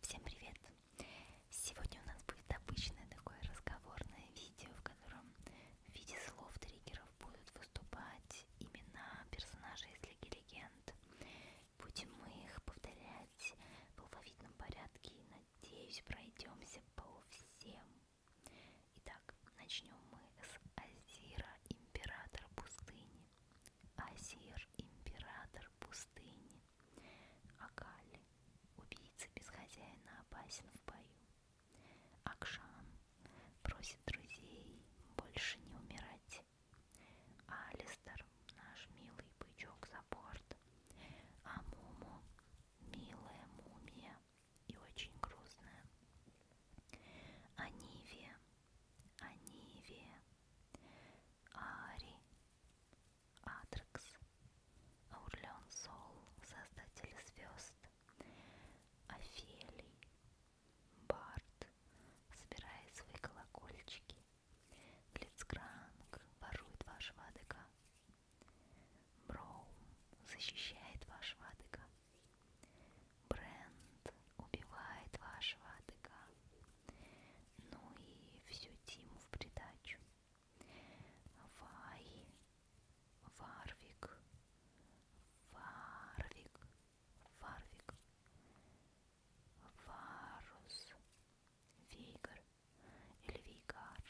Всем привет! Сегодня у нас будет обычное такое разговорное видео, в котором в виде слов триггеров будут выступать имена персонажей из Лиги Легенд. Будем мы их повторять в алфавитном порядке и, надеюсь, пройдемся по всем. Итак, начнем мы с Азира, императора пустыни. Азир, император пустыни, Акали, убийца без хозяина опасен в бою. Акшан просит друзей больше не умирать. Алистер, наш милый бычок за борт. А Муму, милая мумия и очень грустная. Анивия, Анивия, Ари, Атрекс, Аурлеон Сол, создатель звезд, Офелий, Барт, собирает свои колокольчики, Глицкранг ворует вашего адыка, Броум защищает вашего адыка, Брент убивает вашего адыка, ну и всю Тиму в придачу. Вай, Варвик, Варвик, Варвик, Варус, Вигар или Вигар,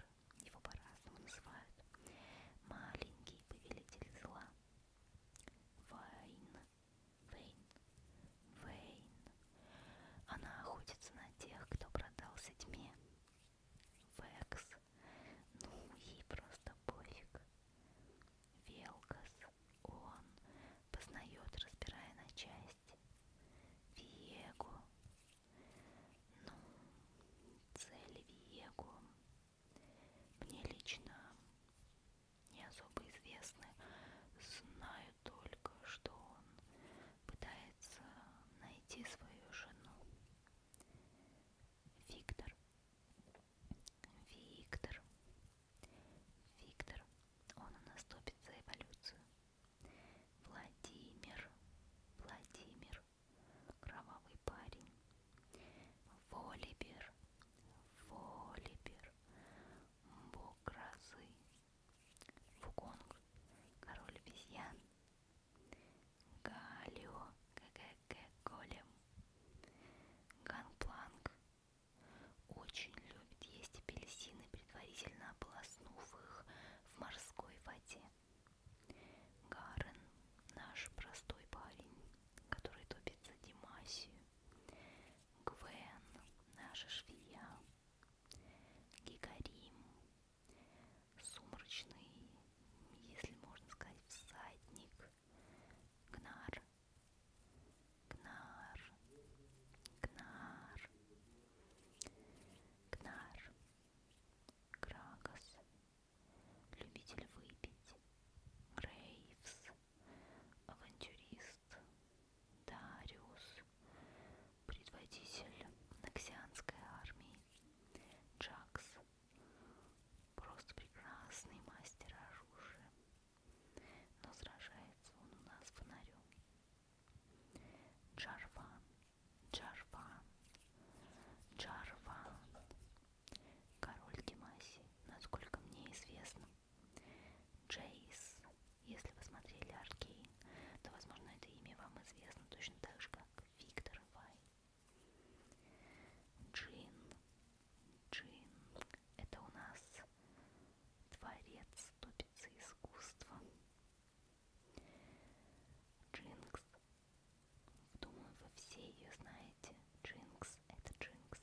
его по-разному называют, маленький повелитель зла, Вайн, Вейн, Вейн. Она охотится на тех, кто продался тьме. Векс. Ну, ей просто пофиг. Велкас. Он познает, разбирая на части. Виего. Ну, цель Виего. Мне лично не особо известны. Знаю только, что он пытается найти свою жену. Виктор. Виктор. Виктор. Он у нас топит за эволюцию. Владимир. Владимир. Кровавый парень. Волибер. Волибер бог грозы, Фуконг, король обезьян, Галио, ГГГ, Голем, Ганпланк, очень любит есть апельсины, предварительно ополоснув их в морской воде. Гарен, наш простой парень, который топит за Димасию, Гвен, наша швея, Гигарим, сумрачный, если можно сказать, всадник, Гнар, Гнар, Гнар, Гнар, Крагас, любитель выпить, Грейвс, авантюрист, Дариус, предводитель Ноксианской армии, Джакс, просто прекрасный мастер оружия, но сражается он у нас фонарем. Джарван, Джарван, Джарван, Король Димаси, насколько мне известно. Джейс, если вы смотрели Аркейн, то, возможно, это имя вам известно точно так же, как Виктор Вай. Джин, Джин, это у нас дворец тупицы искусства. Джинкс, думаю, вы все ее знаете. Джинкс, это Джинкс,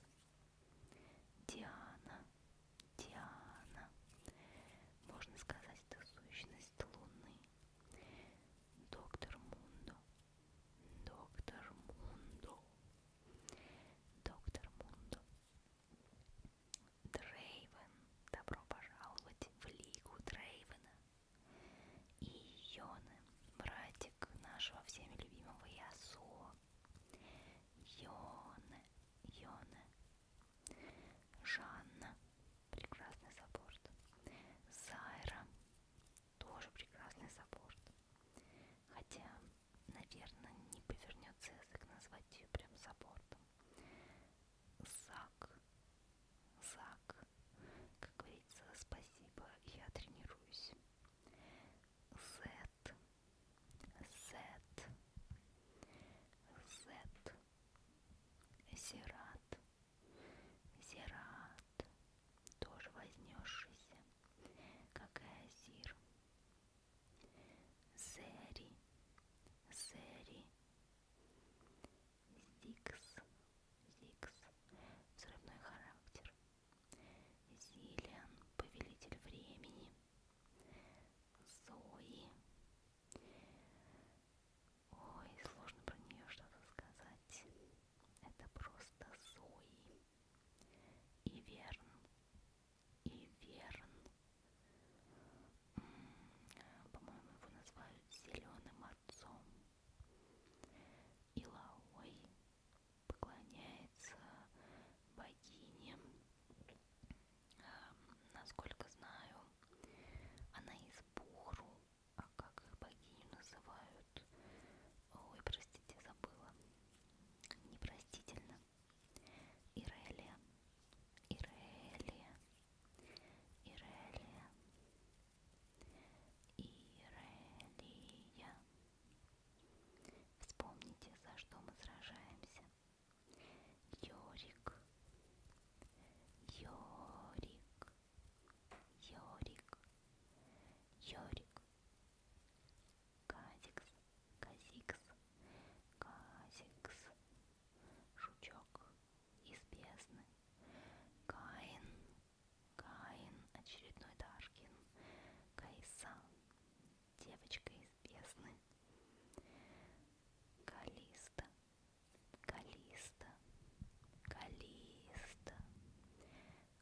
Диана, Диана, можно сказать, это сущность Луны. Доктор Мундо, доктор Мундо, доктор Мундо. Дрейвен, добро пожаловать в Лигу Дрейвена и Йоны, братик нашего всеми любимого Ясо. Йоны, Йоны, Жанна, прекрасный саппорт. Зайра, тоже прекрасный саппорт. Хотя, наверное, не повернется язык назвать ее прям саппортом. Зак, Зак, как говорится, спасибо, я тренируюсь. Z, Z, Z, Зират, Зират, тоже вознесшийся, какая Зир, Зери, Зери, Зикс, Зикс, взрывной характер, Зелен, повелитель времени, Зои. Ой, сложно про нее что-то сказать. Это просто Зои. И Верн. И Верн. По-моему, его называют зеленым отцом. Илауэй поклоняется богине. Эм, насколько знаю, она из Бухру, а как их богиню называют? Ой, простите, забыла. Непростительно. Ирелия. Ирелия. Ирелия. Ирелия. Вспомните, за что мы сражаемся. Йорик. Йорик. Йорик. Йорик. Казикс. Казикс. Казикс. Жучок. Из бездны. Каин. Каин, очередной Даркин, Кайса, девочка из бездны, Калиста, Калиста, Калиста,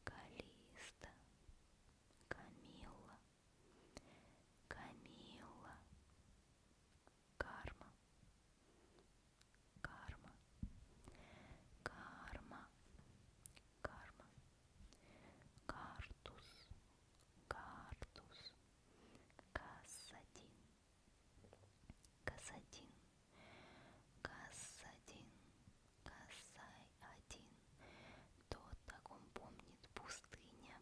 Калиста, Камилла, Камилла, Карма, карма, карма, карма, картус, картус, кассадин, кассадин, кассадин, кассай один, тот, так он помнит, пустыня.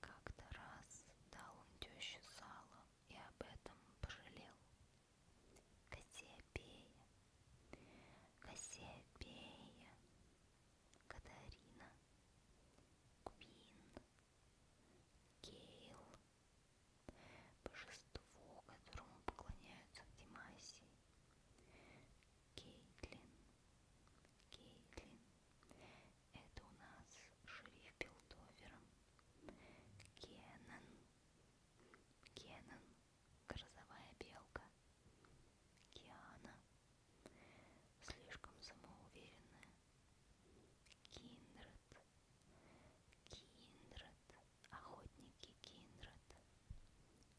Как-то раз дал он теще сало, и об этом пожалел. Кассиопея, Кассиопея, Катарина, Квин, Кейл, божество, которому поклоняются в Димасии, Кейтлин, Кейтлин, это у нас шериф Билдовер. Кеннон. Кеннон. Грозовая белка. Киана. Слишком самоуверенная. Киндред. Киндред. Охотники Киндред.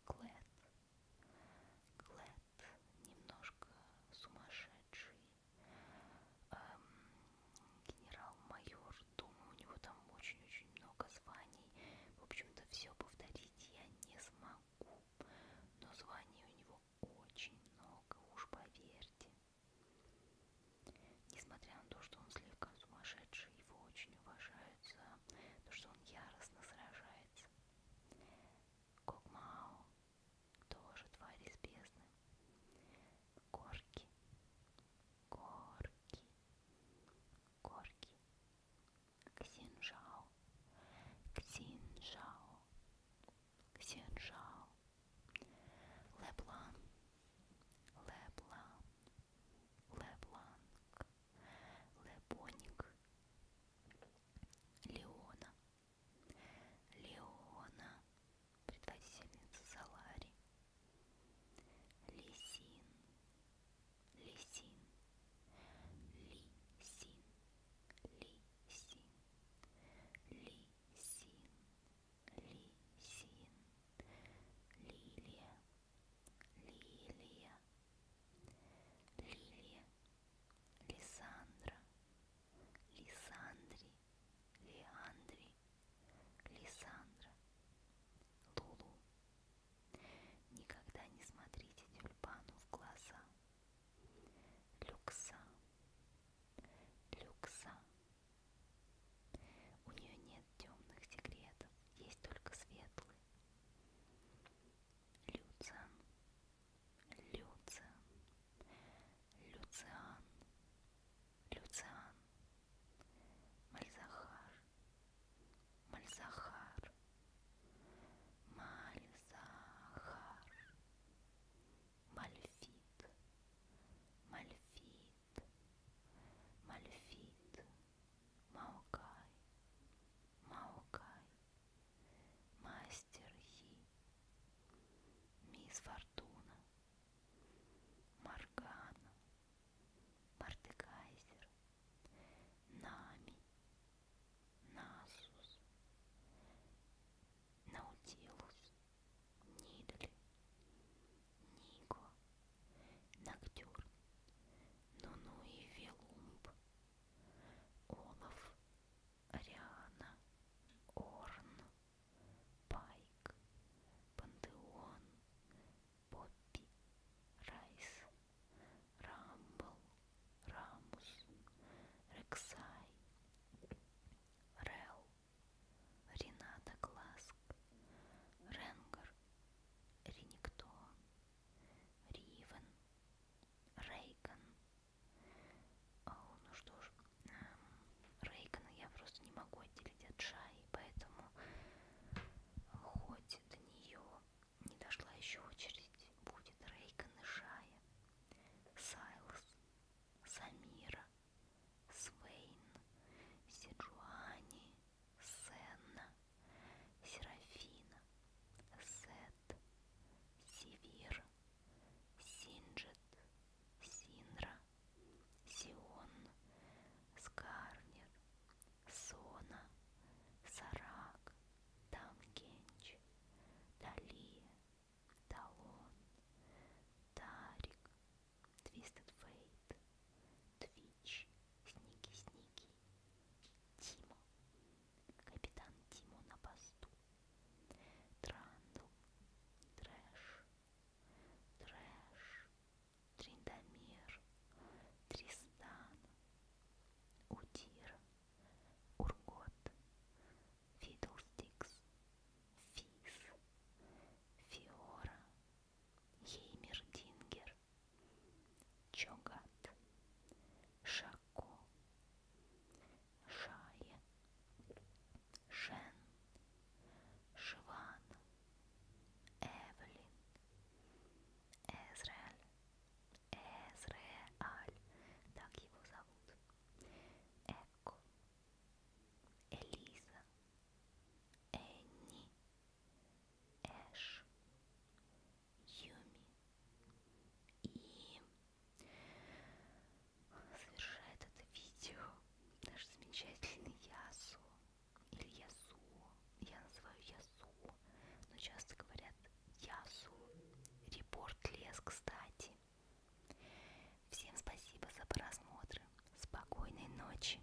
Клэт. Клэт. Немножко сумасшедший Эм, генерал-майор, думаю, у него там очень-очень много званий. В общем-то, все повторить я не смогу, но званий у него очень много, уж поверьте. Несмотря на то, что он слегка сумасшедший, его очень уважают за то, что он яростно сражается. Кокмао тоже тварь из бездны. Горки, горки, горки. Ксинжао, ксинжао, ксинжао. Леблан, леблан, лебланк, лебоник, леона. Леона, предводительница Салари, Лисин, Лисин, Лисин, Лисин, Лисин, Лисин, Лилия, Лилия, Лилия, Лиссандра, Лисандри, Леандри, Лиссандра, Лулу. Никогда не смотрите тюльпану в глаза. Люкса, Люкса. У нее нет темных секретов, есть только светлые. Люцан, Люциан, Люциан, Люциан, Мальзахар, Мальзахар, Мальзахар, Мальфит, Мальфит, Мальфит, Маукай, Маукай. Мастер Хи, Мисс Фортуна, Маргана, Мартекайзер, Нами, Насус, Наутилус, Нидли, Нико, Ноктюрн, Нуну и Велумб, Олаф, Ариана, Орн, Пайк, Пантеон, Поппи, Райс, Рамбл, Рамус, Рексай, Рел, Рената Класк, Ренгар, Рениктон, Ривен, Рейган, о, а, ну что ж, эм, Рейгана я просто не могу отделить от Шаи, поэтому хоть до нее не дошла еще очередь, будет Рейган и Шая, Сайлс, Самира, Свейн, Сиджуани, Сенна, Серафина, Сет, Севир, Синджет, Синра, Сион, Скарнер, Сона, Сарак, Тамгенч, Далия, Талон, Тарик, Твистед Фейт, Твич, Сники-сники, Тимо, Капитан Тимо на посту. Трандл, трэш, трэш, Триндамир, Тристан, Удир, Ургот, Фидлстикс, Физ, Фиора, Хеймердингер, Чогат, Шако, Шае, Шен, Шиван, Эвелин, Эзраэль, Эзраэль, так его зовут, Эко, Элиза, Энни, Эш, Юми и завершает это видео наш замечательный Ясу или Ясу, я называю Ясу, но часто говорят Ясу, репорт лес, кстати. Всем спасибо за просмотр, спокойной ночи.